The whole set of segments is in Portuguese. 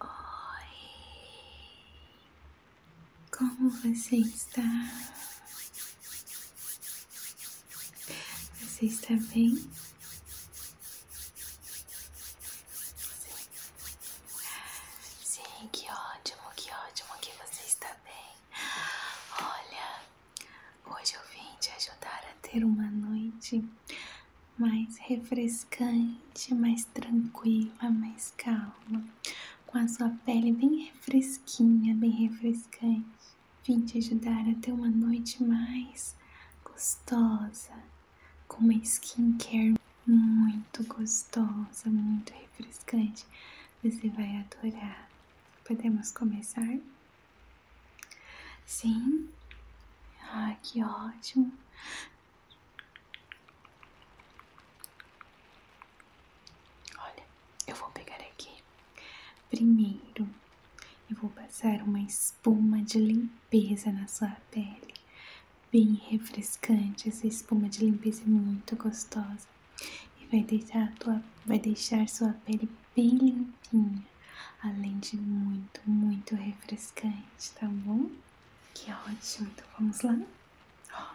Oi, como você está? Você está bem? Sim, que ótimo, que ótimo que você está bem. Olha, Hoje eu vim te ajudar a ter uma noite mais refrescante, mais tranquila, mais calma, com a sua pele bem fresquinha, bem refrescante. Vim te ajudar a ter uma noite mais gostosa, com uma skincare muito gostosa, muito refrescante. Você vai adorar. Podemos começar? Sim. Ah, que ótimo. Olha, eu vou pegar aqui. Primeiro, eu vou passar uma espuma de limpeza na sua pele. Bem refrescante, essa espuma de limpeza é muito gostosa. E vai deixar, tua, vai deixar sua pele bem limpinha além de muito, muito refrescante, tá bom? Que ótimo, então vamos lá? Olha.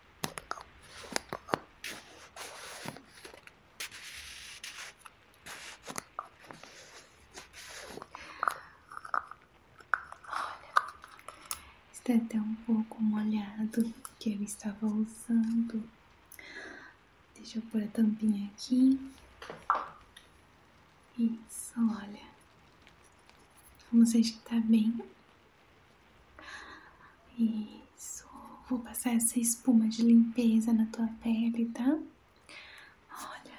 Está até um pouco molhado que eu estava usando. Deixa eu pôr a tampinha aqui. Isso, olha. Vamos agitar bem isso. Vou passar essa espuma de limpeza na tua pele, tá? Olha.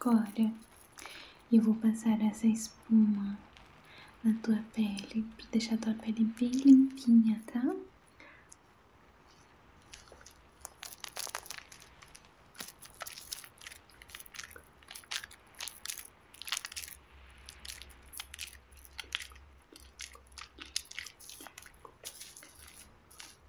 Agora eu vou passar essa espuma na tua pele para deixar tua pele bem limpinha, tá?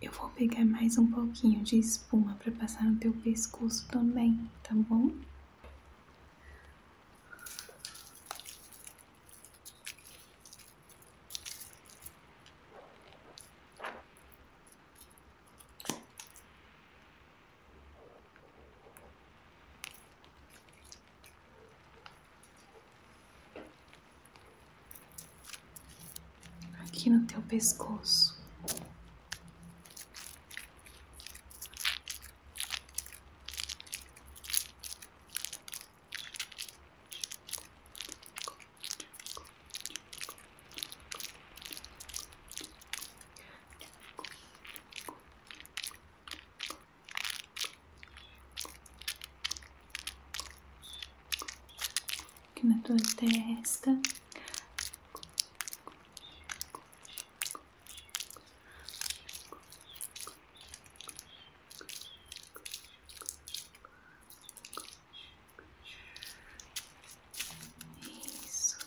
Eu vou pegar mais um pouquinho de espuma para passar no teu pescoço também, tá bom? aqui no teu pescoço que na tua testa. Isso.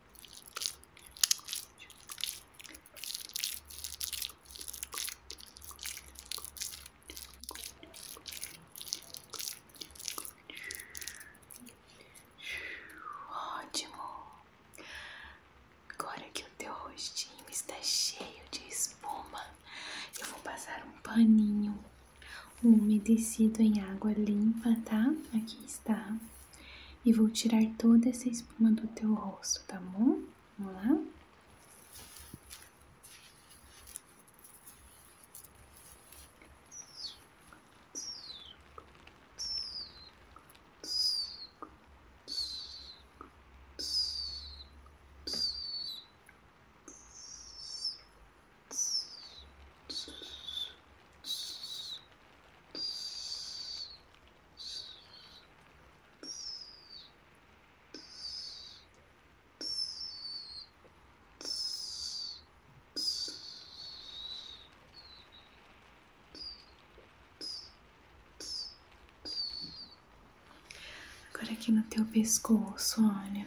Ótimo! Agora que o teu rostinho está cheio de espuma, eu vou passar um paninho umedecido em água limpa, tá? Aqui está. E vou tirar toda essa espuma do teu rosto, tá bom? Vamos lá? Agora aqui no teu pescoço, olha.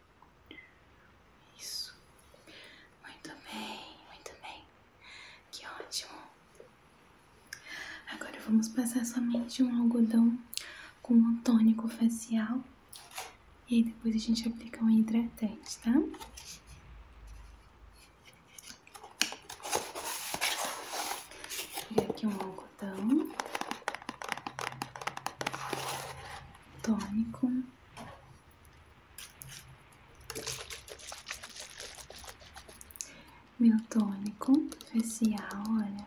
Isso. Muito bem, muito bem. Que ótimo. Agora vamos passar somente um algodão com tônico facial. E aí depois a gente aplica um hidratante, tá? Vou aqui um algodão tônico. Meu tônico facial, olha.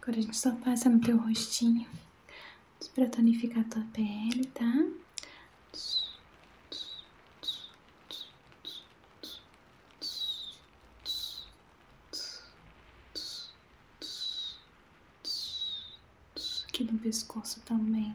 Agora a gente só passa no teu rostinho pra tonificar a tua pele, tá? Aqui no pescoço também.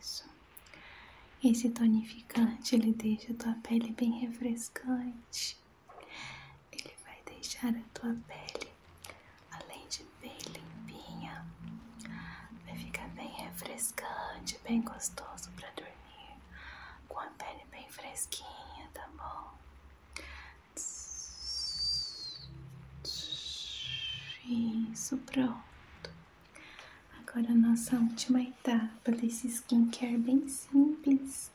Isso. Esse tonificante ele deixa a tua pele bem refrescante. Ele vai deixar a tua pele, além de bem limpinha, vai ficar bem refrescante, bem gostoso para dormir, com a pele bem fresquinha, tá bom? Isso, pronto. Agora nossa última etapa desse skincare bem simples,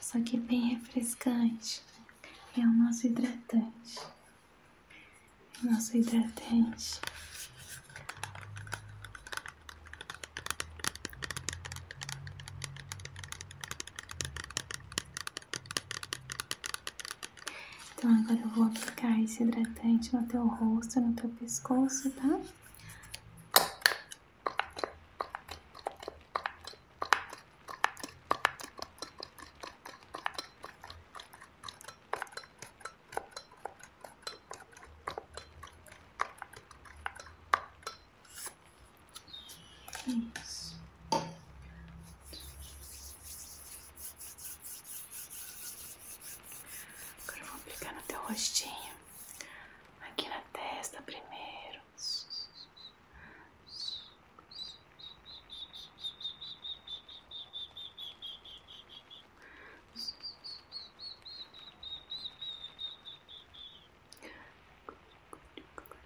só que bem refrescante, é o nosso hidratante. O nosso hidratante. Então agora eu vou aplicar esse hidratante no teu rosto, no teu pescoço, tá? Agora vou aplicar no teu rostinho, aqui na testa primeiro.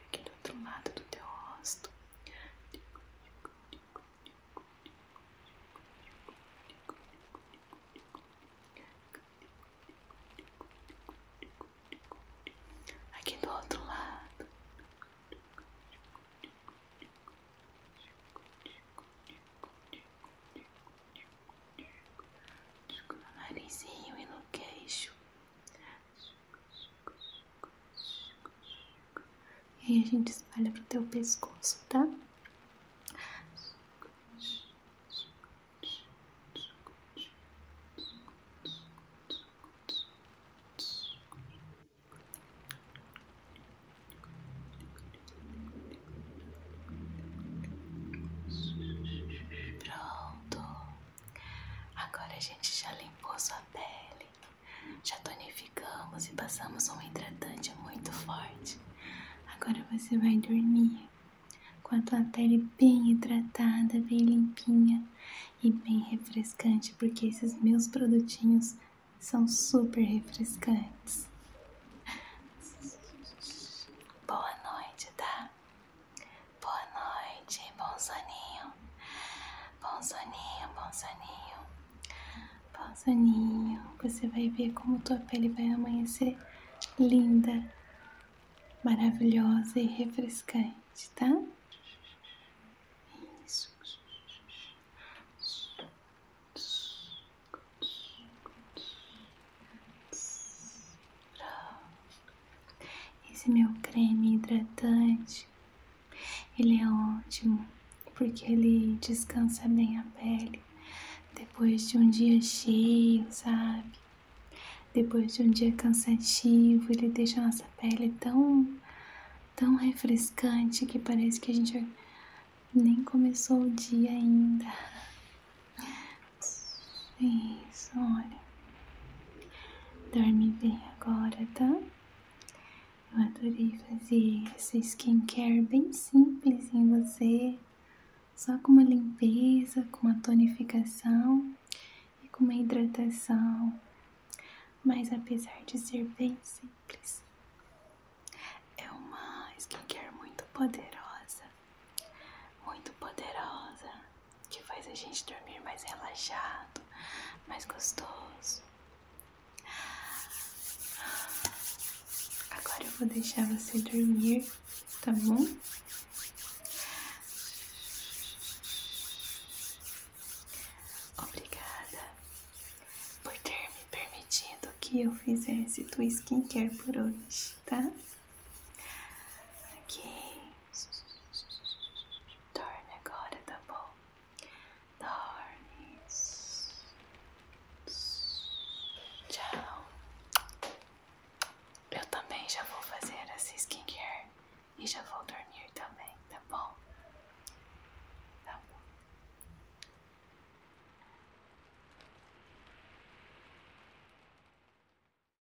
Aqui do outro lado do teu rosto. Aqui do outro lado. No narizinho e no queixo. E aí a gente espalha pro teu pescoço, tá? Pronto. Agora a gente já limpou sua pele. Já tonificamos e passamos um hidratante muito forte. Agora você vai dormir com a tua pele bem hidratada, bem limpinha e bem refrescante, porque esses meus produtinhos são super refrescantes. Boa noite, tá? Boa noite, bom soninho. Bom soninho, bom soninho. Bom soninho. Você vai ver como tua pele vai amanhecer linda, maravilhosa e refrescante, tá? Isso. Pronto. Esse meu creme hidratante, ele é ótimo porque ele descansa bem a pele depois de um dia cheio, sabe? Depois de um dia cansativo, ele deixa a nossa pele tão tão refrescante que parece que a gente nem começou o dia ainda. É isso, olha. Dorme bem agora, tá? Eu adorei fazer esse skincare bem simples em você, só com uma limpeza, com uma tonificação e com uma hidratação. Mas apesar de ser bem simples, é uma skincare muito poderosa, muito poderosa que faz a gente dormir mais relaxado, mais gostoso. Agora eu vou deixar você dormir, tá bom? Obrigada por ter me permitido que eu fizesse tua skincare por hoje, tá? Ok. Dorme agora, tá bom? Dorme. Tchau. Eu também já vou fazer essa skincare e já vou dormir também, tá bom? Tá bom.